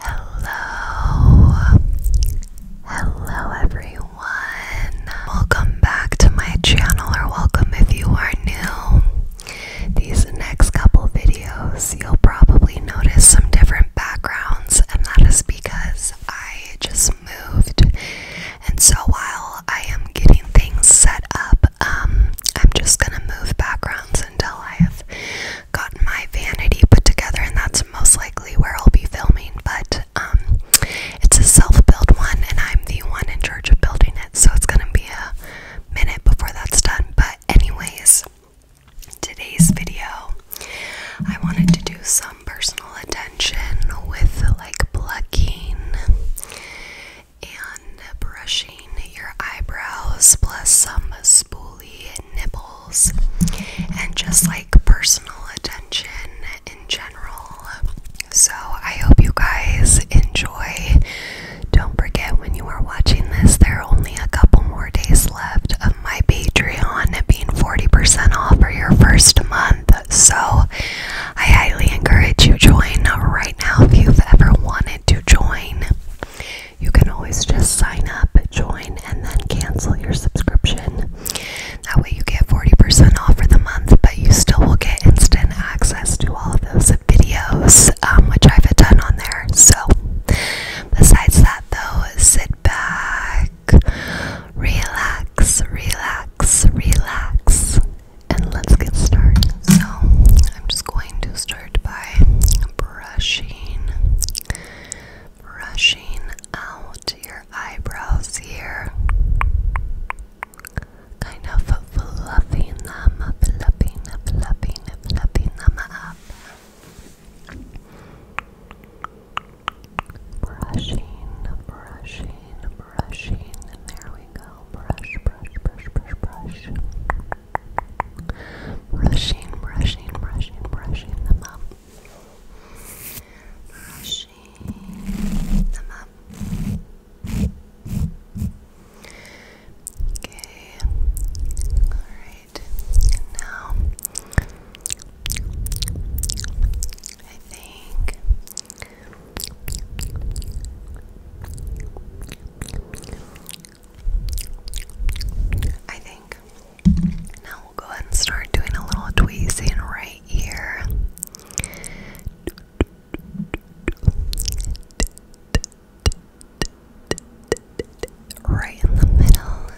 Hello, hello everyone. Welcome back to my channel, or welcome if you are new. These next couple videos, you'll probably notice some different backgrounds, and that is because I just moved and so while I am getting things set up, um, I'm just gonna move backgrounds until I have gotten my vanity put together, and that's most likely where I'll be filming. But um, it's a self-built one, and I'm the one in charge of building it, so it's gonna be a minute before that's done. But anyways, today's video, I wanted to do some personal attention with like plucking and brushing your eyebrows, plus some spoolie nipples, and just like personal attention in general. So, I hope you guys enjoy. Don't forget when you are watching this, there are only a couple more days left of my Patreon being 40% off for your first month. So I highly encourage you to join right now if you've ever wanted to join. You can always just sign up, join, and then cancel your subscription. That way you get 40% off for the month, but you still will get instant access to all of those videos, um, which I've done on there. So besides that though, sit back relax, relax, relax, and let's get started. So, I'm just going to start by brushing, brushing out your eyebrows here, kind of fluffing them, fluffing, fluffing, fluffing them up. Brushing, brushing, brushing. And there we go. Brush, brush, brush, brush, brush. Brushing, brushing, brushing, brushing them up. Brushing them up. Okay. Alright. Now I think I think. Now we'll go ahead and start doing a little tweezing right here. Right in the middle.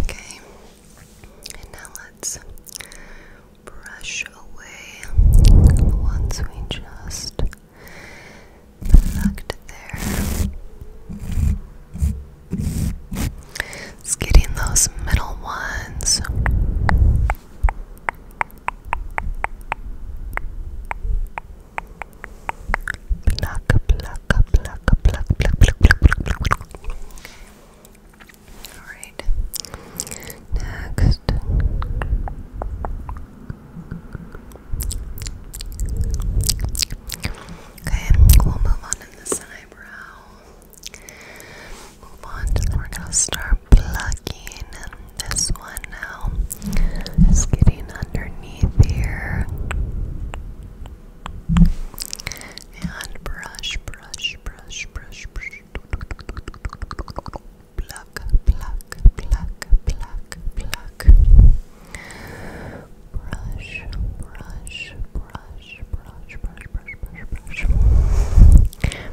Okay, and now let's brush away the ones we just plucked there. It's getting those middle ones. Pluck, pluck, pluck, pluck, pluck, pluck, pluck, pluck. Alright. Next. Okay, we'll move on to this eyebrow. Move on, and we're gonna start plucking this one now. It's getting underneath here. And brush, brush, brush, brush, brush. Pluck, pluck, pluck, pluck, pluck. Brush, brush, brush, brush, brush, brush, brush, brush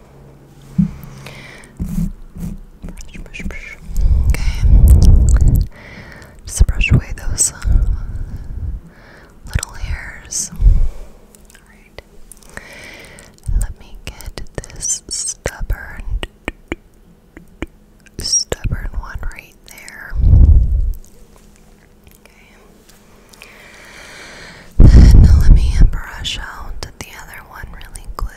Brush, Okay. Just brush away those uh, little hairs. Alright. Let me get this stubborn stubborn one right there. Okay. Now let me brush out the other one really quick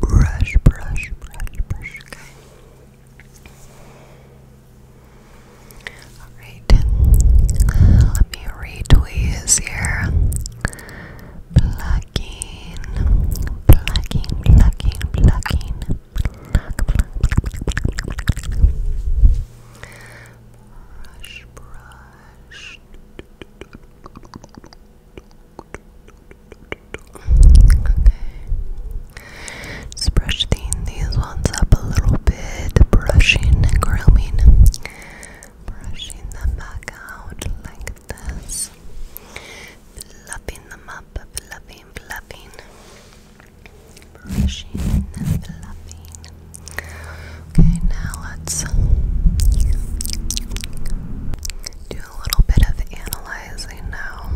brush, brush, brush, brush. Okay. All right. Let me retweeze here. Plucking, plucking, plucking, plucking. Brush, brush. Okay. Just brush these ones up a little bit, brushing and grooming, brushing them back out like this, fluffing them up, fluffing, fluffing, brushing and fluffing. Okay, now let's do a little bit of analyzing now.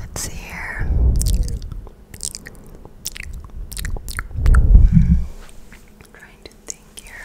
Let's see here. I'm hmm, trying to think here.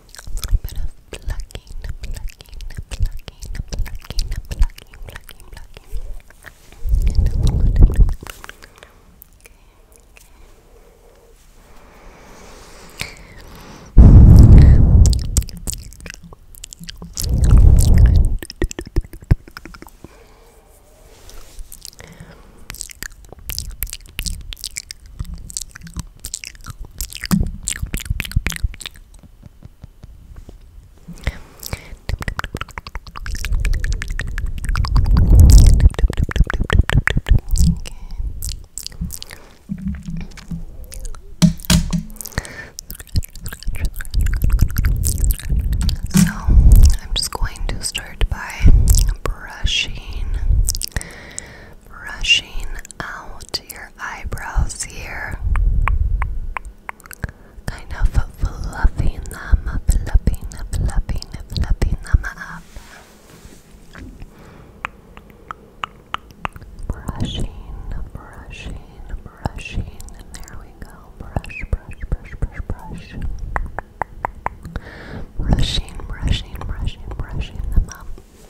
little bit of plucking, plucking, plucking, plucking, plucking, plucking, plucking. And a little bit of Okay. So, I'm just going to start by brushing, brushing out to your eyebrows here. Kind of fluffing them up, fluffing, fluffing, fluffing them up. Brushing, brushing, brushing, and there we go. Brush, brush, brush, brush, brush. Brushing, brushing, brushing, brushing them up. Okay,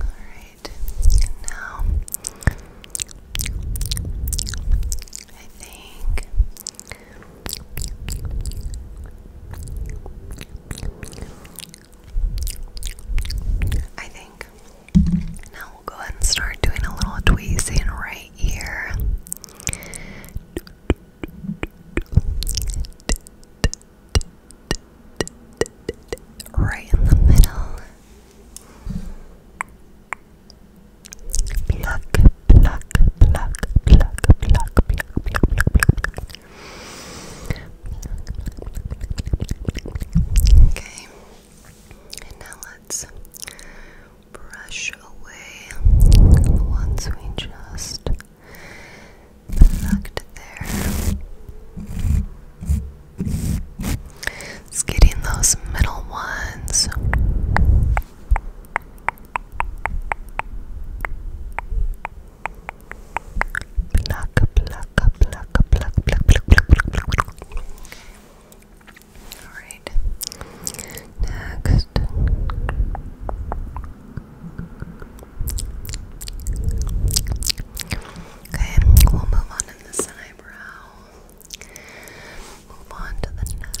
alright, now I think I think now we'll go ahead and start doing a little tweezing right here. Right in the middle. Okay. And now let's brush away the ones we just plucked there. It's those middle ones. Pluck, pluck, pluck, pluck, pluck, pluck, pluck, pluck, Alright. Next. Okay, we'll move on to this eyebrow. Move on to the neck.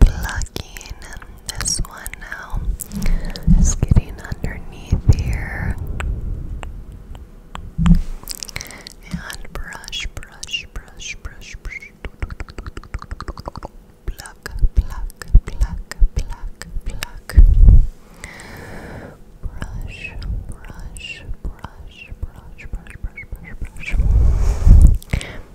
plucking this one now. It's getting underneath here. And brush, brush, brush, brush, brush. Pluck, pluck, pluck, Brush, brush, brush, brush, brush, brush, brush, brush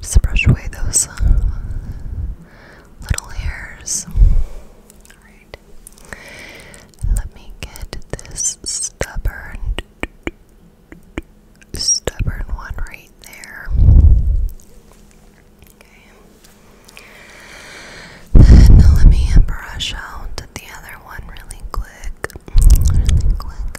Just brush away those uh, little hairs. Alright. Let me get this stubborn, stubborn one right there. Okay. let me brush out the other one really quick. Really quick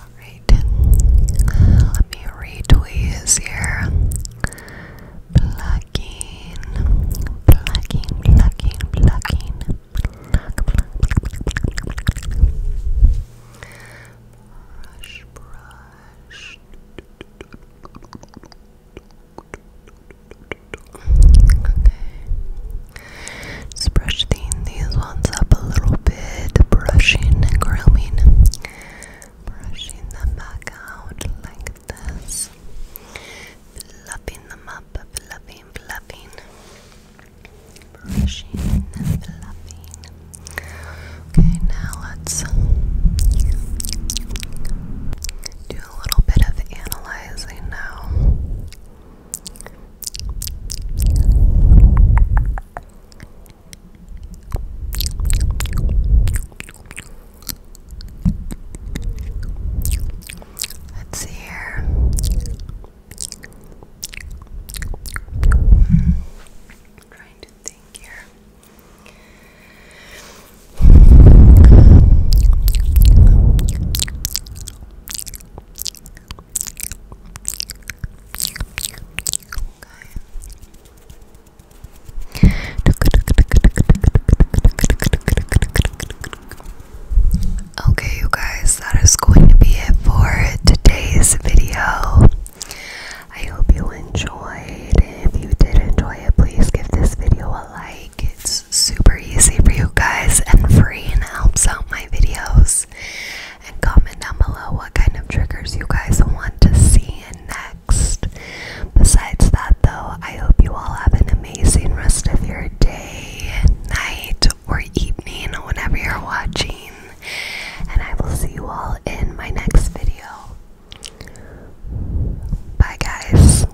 Alright, let me retweeze here. Plucking, plucking, plucking, plucking. Brush, brush. Just brushing these ones up a little bit, brushing and grooming, brushing them back out like this, fluffing them up, fluffing, fluffing, brushing fluffing. Okay, now let's a little bit of analyzing now. Let's see here. I'm hmm. trying to think here. Okay, you guys, that is going to be it for today's video. I hope you enjoyed. If you did enjoy it, please give this video a like. It's super easy for you guys and free and helps out my videos. And comment down below what kind of triggers you guys want to see next. Besides that, though, I hope you all have an amazing rest of your day, night, or evening, whenever you're watching. And I will see you all in my next video. Bye, guys.